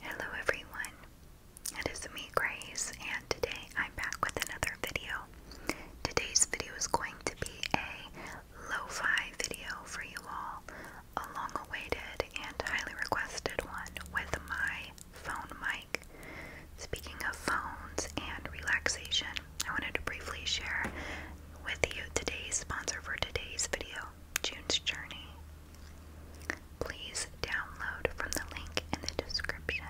Hello everyone, it is me Grace and today I'm back with another video. Today's video is going to be a lo-fi video for you all, a long awaited and highly requested one with my phone mic. Speaking of phones and relaxation, I wanted to briefly share with you today's sponsor for today's video June's Journey. Please download from the link in the description.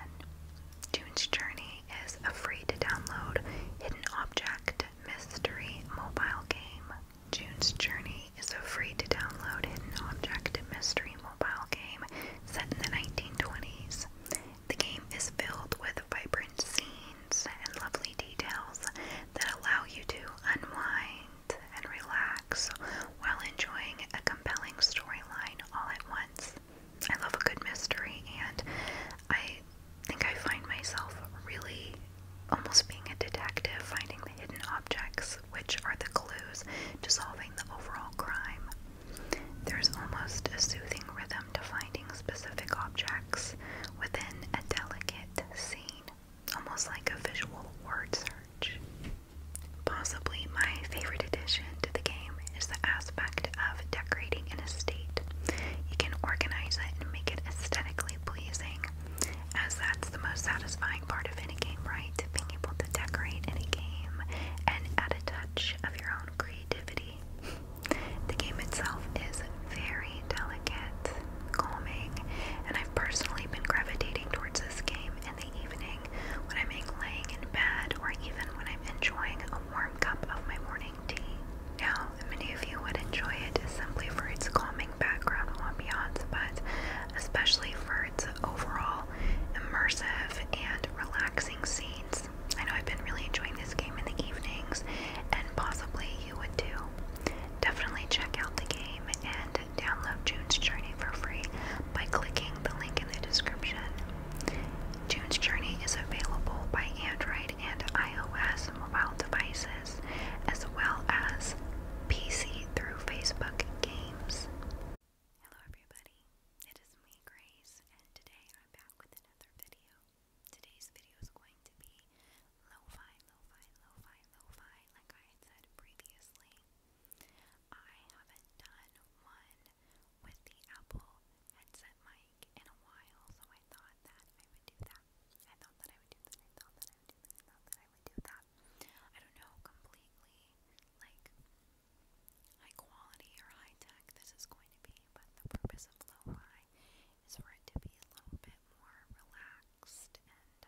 June's Journey is a free to download hidden object mystery mobile game. June's Journey is a free to download hidden object mystery mobile game set in the 1920s. The game is filled with vibrant scenes and lovely details that allow you to unwind and relax while enjoying a compelling storyline all at once. I love a good mystery, and I think I find myself really almost being a detective, finding the hidden objects, which are the clues to solving the overall crime. There's almost a soothing rhythm to finding specific objects within a delicate scene almost like a visual word search. Possibly my favorite addition to the game is the aspect of decorating an estate. You can organize it and make it aesthetically pleasing, as that's the most satisfying part of any game, right? Being able to decorate any game and add a touch of your own creativity. The game itself is very delicate, calming, and I've personally been gravitating towards this game in the evening, when I'm laying in bed, or even when I'm enjoying a warm cup of my morning tea. Now, many of you would enjoy it simply for its calming background ambiance, but especially for its overall immersive and relaxing scenes. I know I've been really enjoying this game in the evenings, and possibly you would too. Definitely check out the game and download June's Journey for free by clicking the link in the description. June's Journey is available by Android and iOS mobile devices, as well as PC through Facebook Games. Hello, everybody. It is me, Grace, and today I'm back with another video. Today's video is going to be lo-fi, lo-fi, like I had said previously. I haven't done one with the Apple headset mic in a while, so I thought that I would do that. I thought that I would do that. I thought that I would do that. I thought that I would do that. I don't know completely like high quality or high tech this is going to be, but the purpose of lo-fi is for it to be a little bit more relaxed and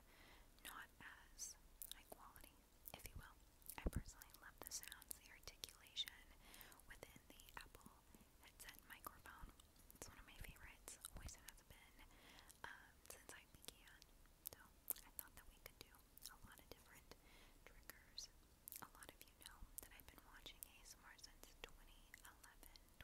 not as high quality if you will. I personally love the sounds, the articulation within the Apple headset microphone. It's one of my favorites, always has been um, since I began. So I thought that we could do a lot of different triggers. A lot of you know that I've been watching ASMR since 2011, I was 12.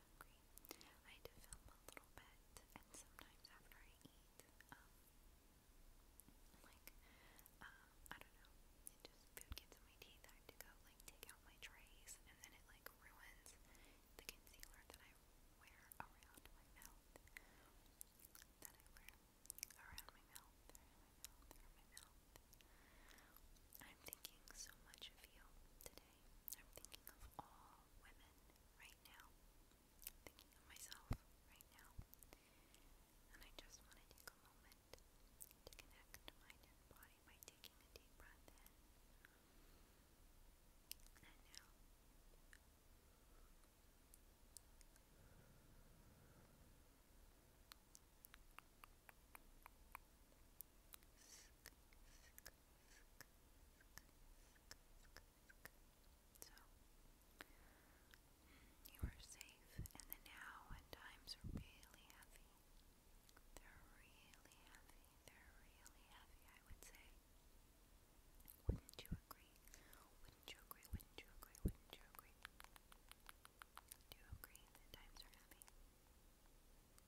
hungry. I had film a little bit, and sometimes after I eat, um, like, um, I don't know, just, food gets in my teeth, I have to go, like, take out my trays, and then it, like, ruins the concealer that I wear around my mouth, that I wear around my mouth. I'm thinking so much of you today. I'm thinking of all women right now. thinking of myself right now. And I just want a moment to connect mind and body by taking a deep breath in and out. So, you are safe in the now when times are really heavy. They're really heavy. They're really heavy, I would say. Wouldn't you agree? Wouldn't you agree? Wouldn't you agree? Wouldn't you agree? Do you agree that times are heavy?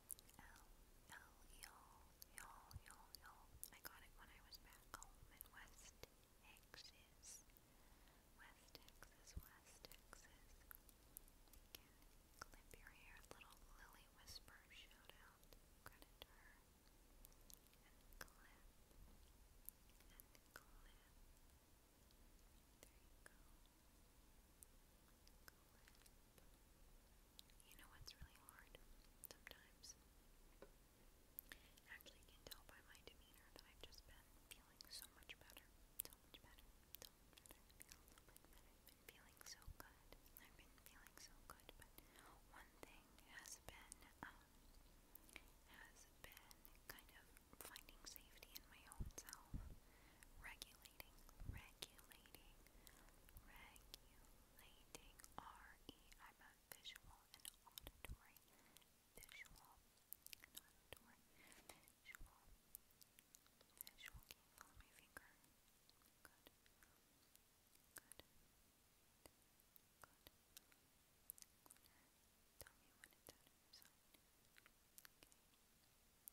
L L y'all, y'all, y'all, y'all. I got it when I was back home in West Texas. West Texas, West Texas. clip your hair. Little Lily Whisper shout out. her. And clip. And clip. There you go. You know what's really hard sometimes? Actually, you can tell by my demeanor that I've just been feeling so much better, so much better, I've been feeling so good. I've been feeling so good, but one thing has been, um, has been kind of finding safety in my own self regularly regulating, regulating, regulating R-E, I'm a visual and auditory, visual auditory, visual, visual, you follow my finger? Good, good, good, tell me when it's out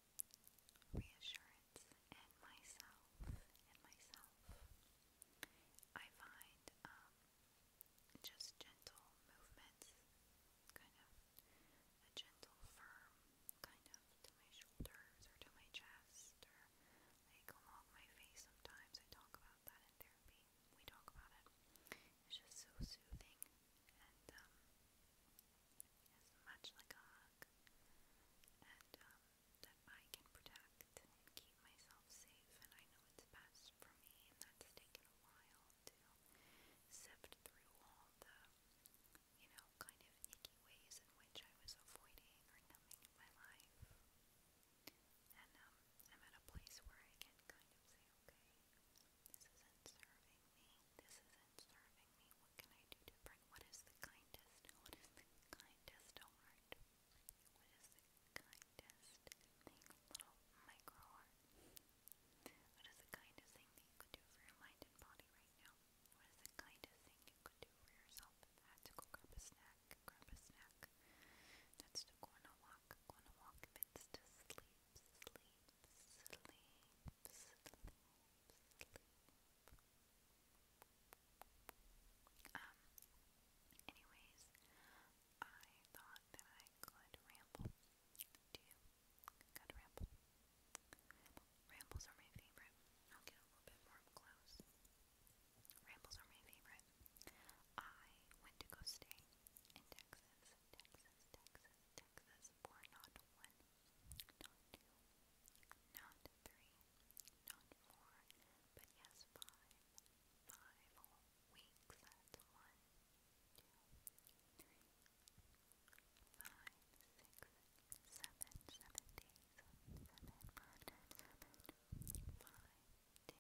reassurance and myself, in myself. I find um, just gentle movements, kind of a gentle, firm kind of to my shoulders or to my chest or along my face. Sometimes I talk about that in therapy. We talk about it. It's just so soothing and um, much like a hug, um, that I can protect and keep myself safe, and I know it's best for me, and that's taken a while to sift through all the, you know, kind of icky ways in which I was avoiding or numbing my life. And um, I'm at a place where I can kind of say, okay, this isn't serving me, this isn't serving me what can I do different? What is the kindest? What is the kindest heart? What is the kindest thing? Little micro heart. What is the kindest thing you could do for your mind and body right now? What is the kindest thing you could do for yourself? That's to go grab a snack, grab a snack. That's to go on a walk, go on a walk. If to sleep, sleep, sleep sleep. anyways, I thought that I could ramble. Do you? got ramble. Rambles are my favorite. I'll get a little bit more close. Rambles are my favorite. I went to go stay in Texas, Texas, Texas, Texas for not one, not two, not three, not four, but yes, five. Five weeks. That's one, two, three, five, six, seven, seven days, seven, hundred, seven, five,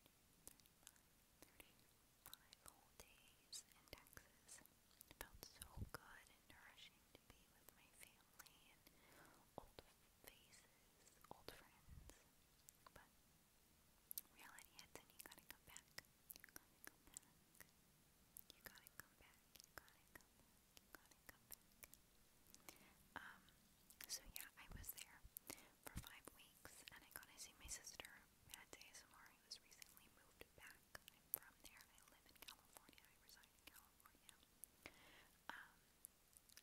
ten, Thirty-five whole days in Texas. felt so good and nourishing to be with my family and old faces, old friends. But reality hits and you You gotta come back. You gotta come back. You gotta come back. You gotta come back. Um, so yeah, I was there for five weeks and I got to see my sister Matt's ASMR, he was recently moved back. from there. I live in California. I reside in California. Um,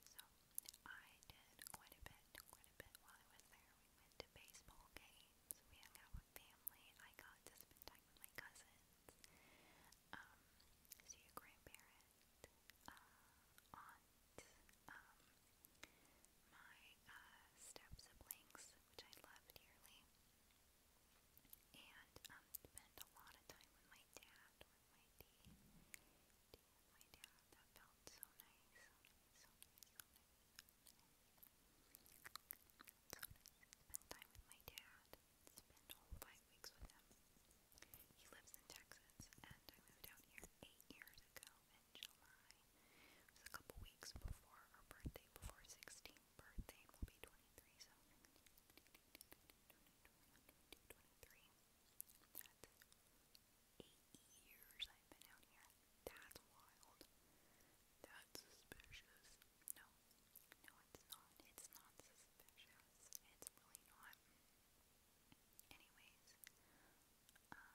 so I did quite a bit, quite a bit while I was there. We went to baseball games. We hung out with family. I got to spend time with my cousins. Um, see a grandparent, uh, um, my uh, which I love dearly, and um, spend a lot of time with my dad, with my dad. That felt so nice, so nice, so nice, Spend time with my dad. Spend all five weeks with him. He lives in Texas, and I moved out here eight years ago, in July. It a couple weeks before her birthday, before 16th birthday, will be 23, so 23. That's eight years I've been out here. That's wild. That's suspicious. No, no, it's not. It's not suspicious. It's really not. Anyways,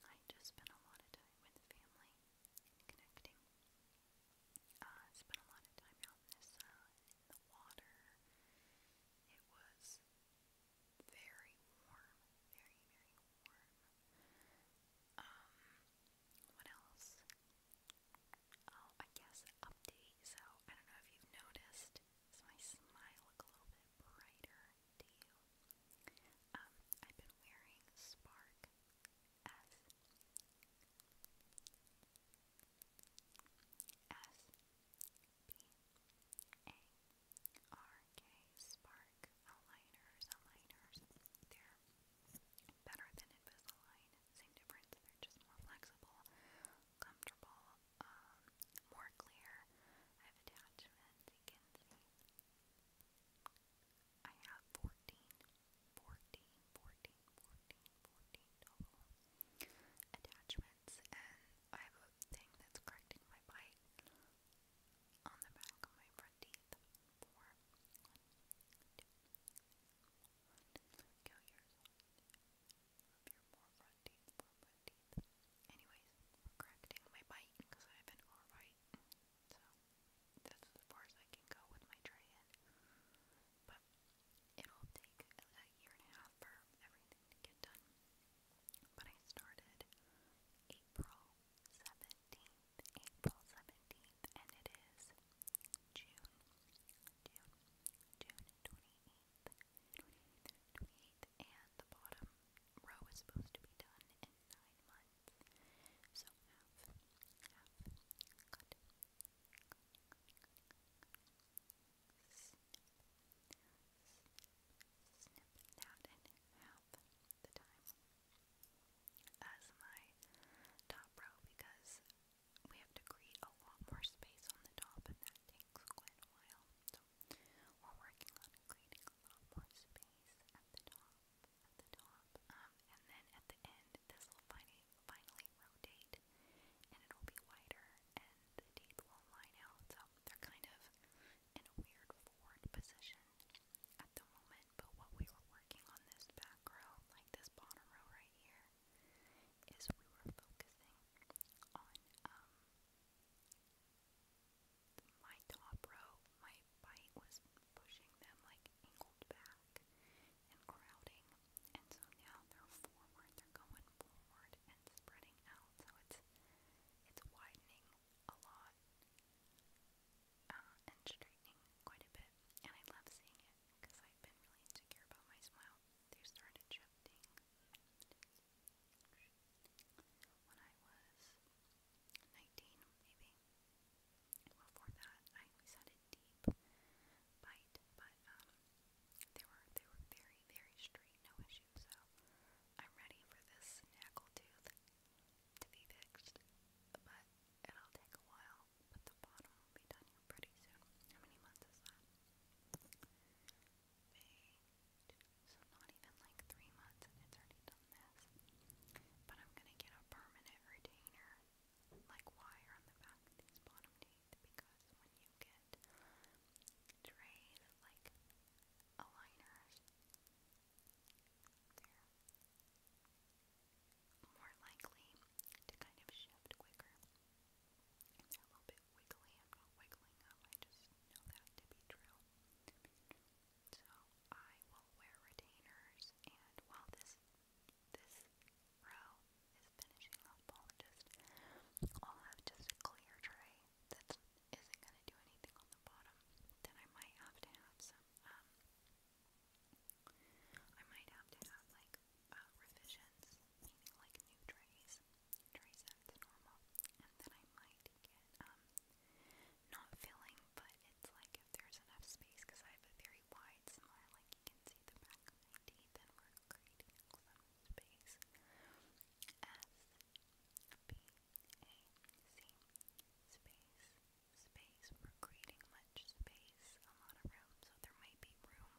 I just spent a lot of time with family connecting. Uh, spent a lot of time out in the water. It was very warm, very, very warm. Um, what else? Oh, I guess update. So, I don't know if you've noticed, is my smile look a little bit brighter? to you. I've been wearing Spark as S P A R K aligners, aligners. They're better than Invisalign. Same difference. They're just more flexible, comfortable, more clear. I have attachments. You I have 14, total attachments, and I have a thing that's correcting my bite on the back of my front teeth. Four, one, two, one. Let Anyways, correcting my bite because I've been alright. So that's as far as I can go with my trade But it'll take a year and a half for everything to get done. But I started April 17th, April 17th, and it is June, June, June 28th, 28th, 28th, and the bottom row is supposed to be done in nine months. So have, have, cut, snip, snip that in the time as my top row because we have to create a lot more space on the top and that takes quite a while. So we're working on creating a lot more space at the top at the top, um, and then at the end, this will finally, finally rotate, and it'll be wider, and the teeth will line out, so they're kind of in a weird forward position at the moment, but what we were working on this back row, like this bottom row right here, is we were focusing on, um, my top row, my bite was pushing them like angled back and crowding. And so now they're are going forward and spreading out. So it's it's widening a lot uh, and straightening quite a bit. And I love seeing it because I've been really insecure about my smile. They started shifting when I was 19 maybe. Before that, I always had a deep bite, but um, they were they were very very straight, no issue. So I'm ready for this snackle tooth to be fixed, but it'll take a while. But the bottom will be done pretty soon. How many months is that? Eight. So not even like three months, and it's already done this. But I'm gonna get a permanent retainer, like wire on the back of these bottom teeth, because when you get trade like aligners, they're more likely to kind of shift quicker. a little bit wiggly. I'm not wiggling I just know that to be true. So I will wear retainers and while this this row is finishing off just I'll have just a clear tray that isn't gonna do anything on the bottom. Then I might have to have some um, I might have to have like uh, revisions, like new trays, tray sets normal. And then I might get um not filling, but it's like if there's enough space, because I have a very wide smile, like you can see the back of my teeth, and we're creating some space. S B A C space space. creating much space, a lot of room, so there might be room.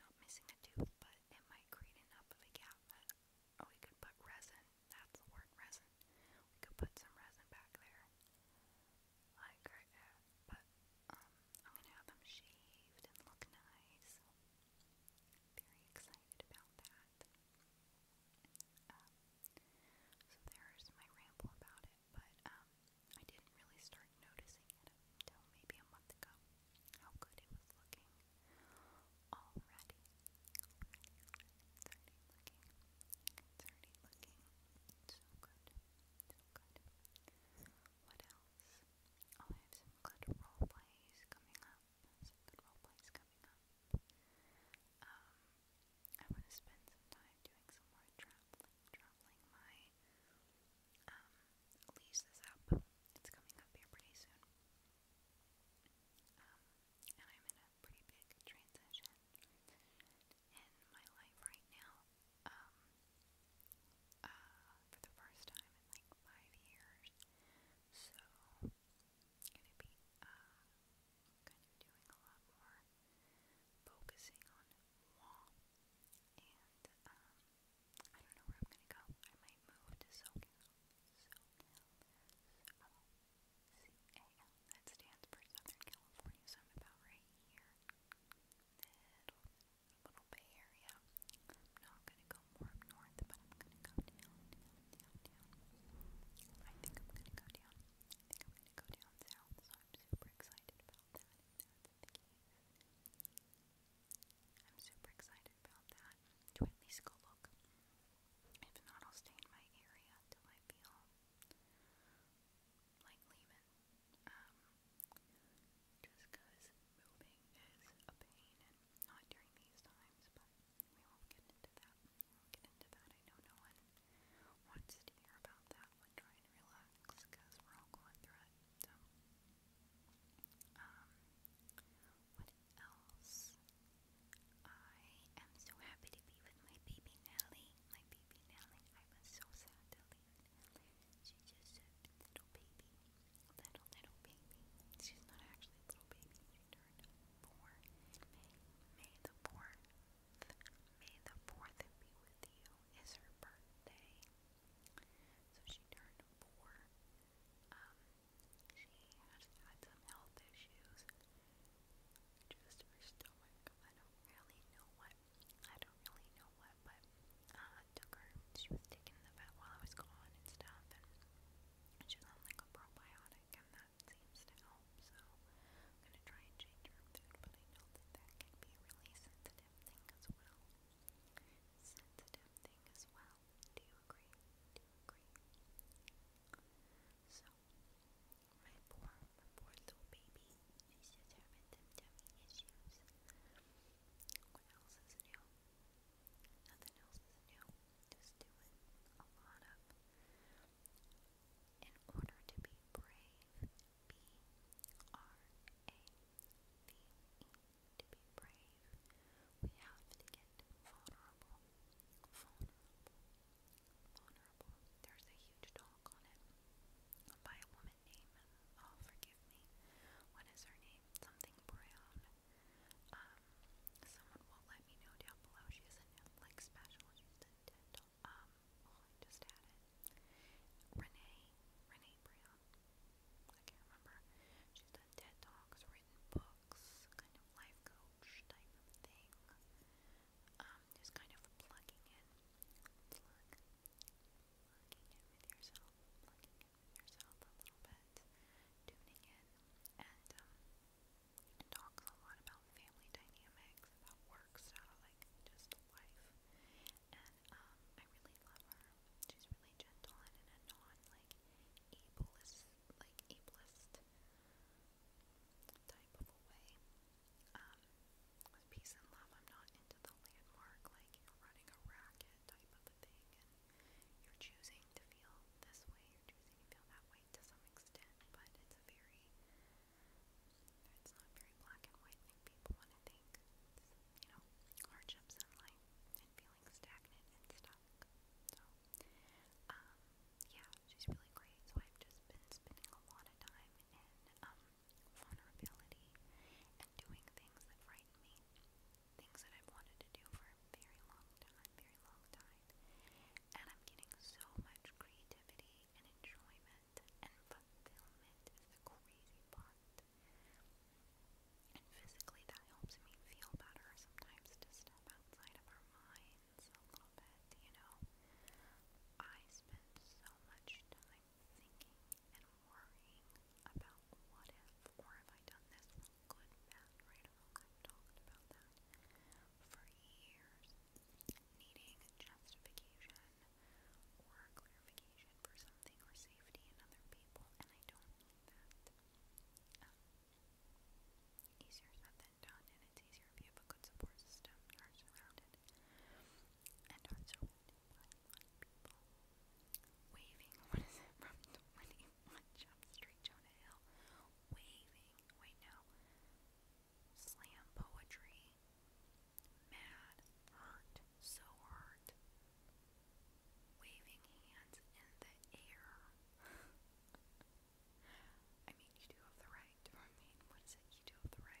Not missing a tooth, but it might create enough of a gap oh, we could put resin. That's the resin we could put some resin back there. Like right there. But um, I'm gonna have them shaved and look nice. Very excited about that. Um, so there's my ramble about it, but um, I didn't really start noticing it until maybe a month ago. How good it was looking already. Already, already. looking. It's looking so good. So good. What else? Oh, I have some good role plays coming up. role plays coming up. Um, I want to spend some time doing some more traveling, traveling my um lease is up. It's coming up here pretty soon. Um, and I'm in a pretty big transition in my life right now. Um, uh, for the first time in like five years, so gonna be uh kind of doing a lot more focusing on law, and um, I don't know where I'm gonna go. I might move to SoCal, SoCal, C-A-L, that stands for Southern California, so I'm about right here, middle, little Bay Area. I'm going to go more north, but I'm going to go down, I think I'm going to go down. I think I'm going to go down south, so I'm super excited about that, I'm super excited about that, to at If not, I'll stay in my area till I feel like Lehman, um, just because moving is a pain, and not during these times, but we won't get into that. We will get into that. I know no one wants to hear about that when trying to relax, because we're all going through it, Um, what else? I am so happy to be with my baby Nelly my baby Nelly. I was so sad to leave. She's just a little baby. Little, little baby. She's not actually a little baby. She turned four. May, May the 4th. May the 4th be with you is her birthday. So she turned four. Um, she has had some health issues just her stomach. I don't really know what. I don't really know what, but uh, took her. She was taken the vet while I was gone and stuff, and she's on like a probiotic, and that seems to help. So I'm gonna try and change her food, but I know that that can be a really sensitive thing as well. Sensitive thing as well. Do you agree? Do you agree? So my poor, my poor little baby is just having some tummy issues. What else is new? Nothing else is new. Just doing a lot of. In order to be brave, B R A V E, to be brave, we have to get Vulnerable vulnerable. There's a huge dog on it by a woman named, oh, forgive me, what is her name? Something Brown. Um, someone will let me know down below. She has a Netflix special. She's a dental. Um, oh, just had Renee, Renee Brown. I can't remember. She's done TED Talks, written books, kind of life coach type of thing. Um, um, just kind of plugging in, plugging in with yourself, plugging in with yourself a tuning in, and um, talks a lot about family dynamics, about work stuff, like just life, and um, I really love her. She's really gentle and in a non like ableist, like ableist type of way. Um, with peace and love, I'm not into the landmark, like you running a racket type of thing, you're choosing to feel this way, you're choosing to feel that way to some extent, but it's very, it's not very black and white like people want to think. you know, hardships in life and feeling stagnant and stuck. So, um, yeah, she's really great. So I've just been spending a lot of time in, um, vulnerability, and doing things that frighten me. Things that I've wanted to do for a very long time, very long time. And I'm getting so much creativity and enjoyment and fulfillment is the crazy part. And physically that helps me feel better sometimes to step outside of our minds a little bit, you know. I spend so much time thinking and worrying about what if or have I done this good, bad, right I've talked about that for years. Needing justification or clarification for something or safety in other people, and I don't need that. Um, easier said than done, Waving, from 21 Jump Street, Jonah Hill? Waving, wait no. Slam poetry, mad, hurt, so hurt. Waving hands in the air. I mean, you do have the right to remain. What is it? You do have the right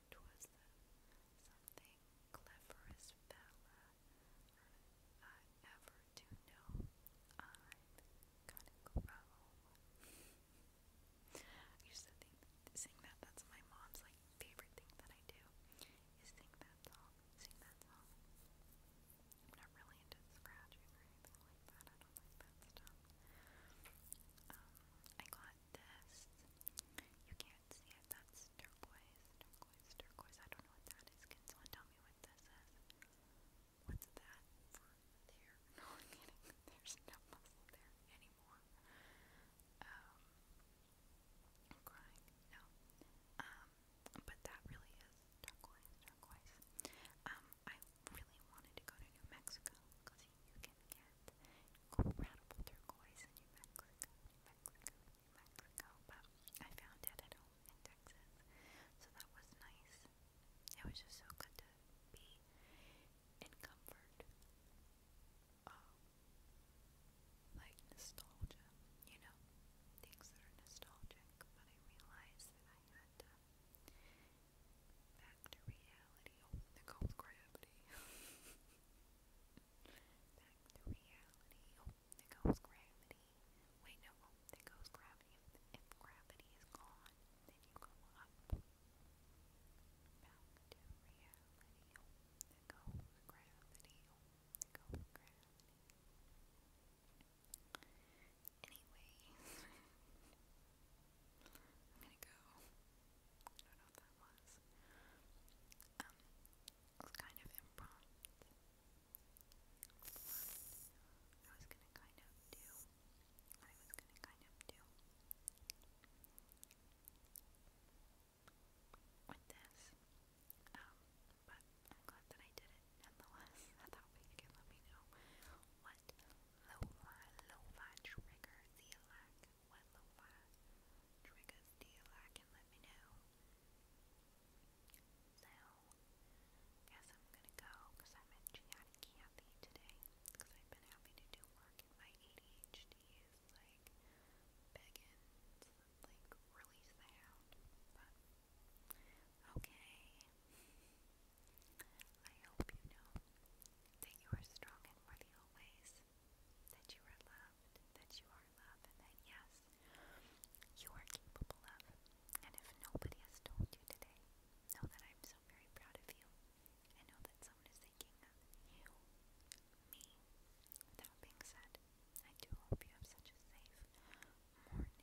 'Twas the something cleverest fella I ever do know. I'm gonna grow. I used to think, that. That's my mom's like favorite thing that I do is sing that song. Sing that song. I'm not really into scratching or anything like that. I don't like that stuff. Um, I got this. You can't see it. That's turquoise, turquoise, turquoise. I don't know what that is. Can someone tell me what this is? What's that There's no muscle there anymore. Um, I'm crying. No. Um, but that really is turquoise, turquoise. Um, I really wanted to go to New Mexico because you can get incredible turquoise in New Mexico. Mexico, but I found it at home in Texas, so that was nice. It was just so good to be in comfort. Um, like nostalgia, you know, things that are nostalgic, but I realized that I had to back to reality, oh, they gravity. Back to reality. Oh, goes gravity. Wait, no, oh, goes gravity. If, gravity is gone, then you go up. Back to reality. Oh, goes gravity. Oh, goes gravity. Anyways, I'm gonna go. I don't know what that was was kind of impromptu. I was gonna kind of do I was gonna kind of do with this. Um, but I'm glad that I did it nonetheless. I thought we could let me know what lo-fi, lo-fi triggers you what lo-fi triggers do you like and let me know. So, guess I'm gonna go because I'm at Gianni today because I've been having to do work and my ADHD is like begging to like release that out. But, okay. I hope you know that you are strong and worthy always that you are loved, that you are loved, and that yes, you are capable of. And if nobody has told you today, know that I'm so very proud of you. I know that someone is thinking of you, me. That being said, I do hope you have such a safe morning,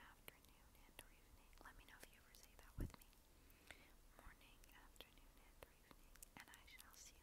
afternoon, and evening. Let me know if you ever say that with me. Morning, afternoon, and evening. And I shall see you